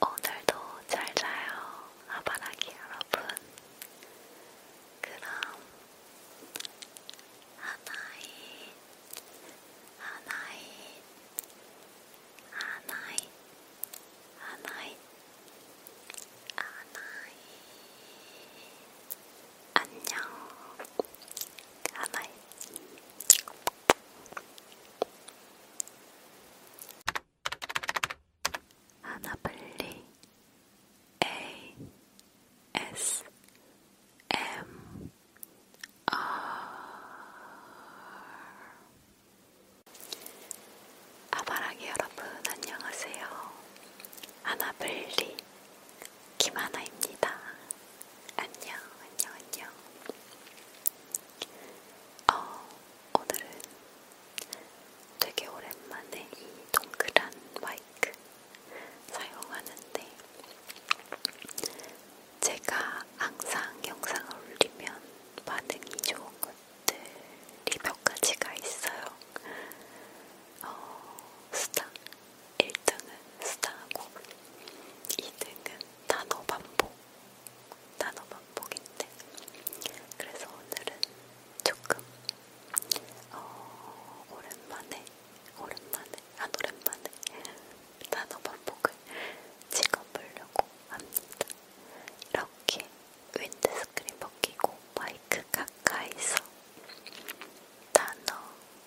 오늘도 잘 자요, 아바라기 여러분. 그럼 하나이, 하나이, 하나이, 하나이, 하나이. 안녕 하나이 하나블리 A S M R 아바라기 여러분 안녕하세요 하나블리 김하나입니다. 안녕, 안녕, 안녕. 어, 오늘은 되게 오랜만에 이 동그란 마이크 사용하는데, 제가 항상 영상을 올리면 반응이 좋은 것들이 몇 가지가 있어요. 어, 수다, 1등은 스타고 2등은 단어 반복 단어 반복인데 그래서 오늘은 조금 어, 오랜만에 오랜만에 안 오랜만에 단어 반복을 찍어보려고 합니다. 이렇게 윈드스크린 벗기고 마이크 가까이서 단어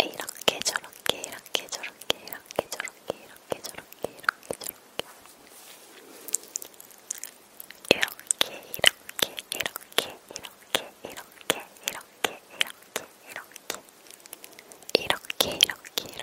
이렇게 저렇게 이렇게 저렇게 이렇게 저렇게 이렇게 저렇게 이렇게 저렇게 이렇게 이렇게 이렇게 이렇게 이렇게 이렇게 이렇게 이렇게 이렇게 이렇게 이렇게 이렇게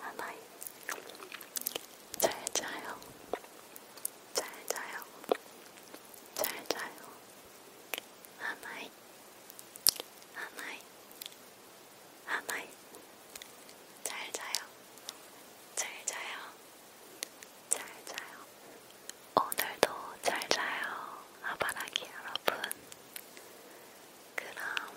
하나인 잘 자요 잘 자요 잘 자요 하나인 하나인 하나인 잘 자요 잘 자요 잘 자요 오늘도 잘 자요 아바라기 여러분 그럼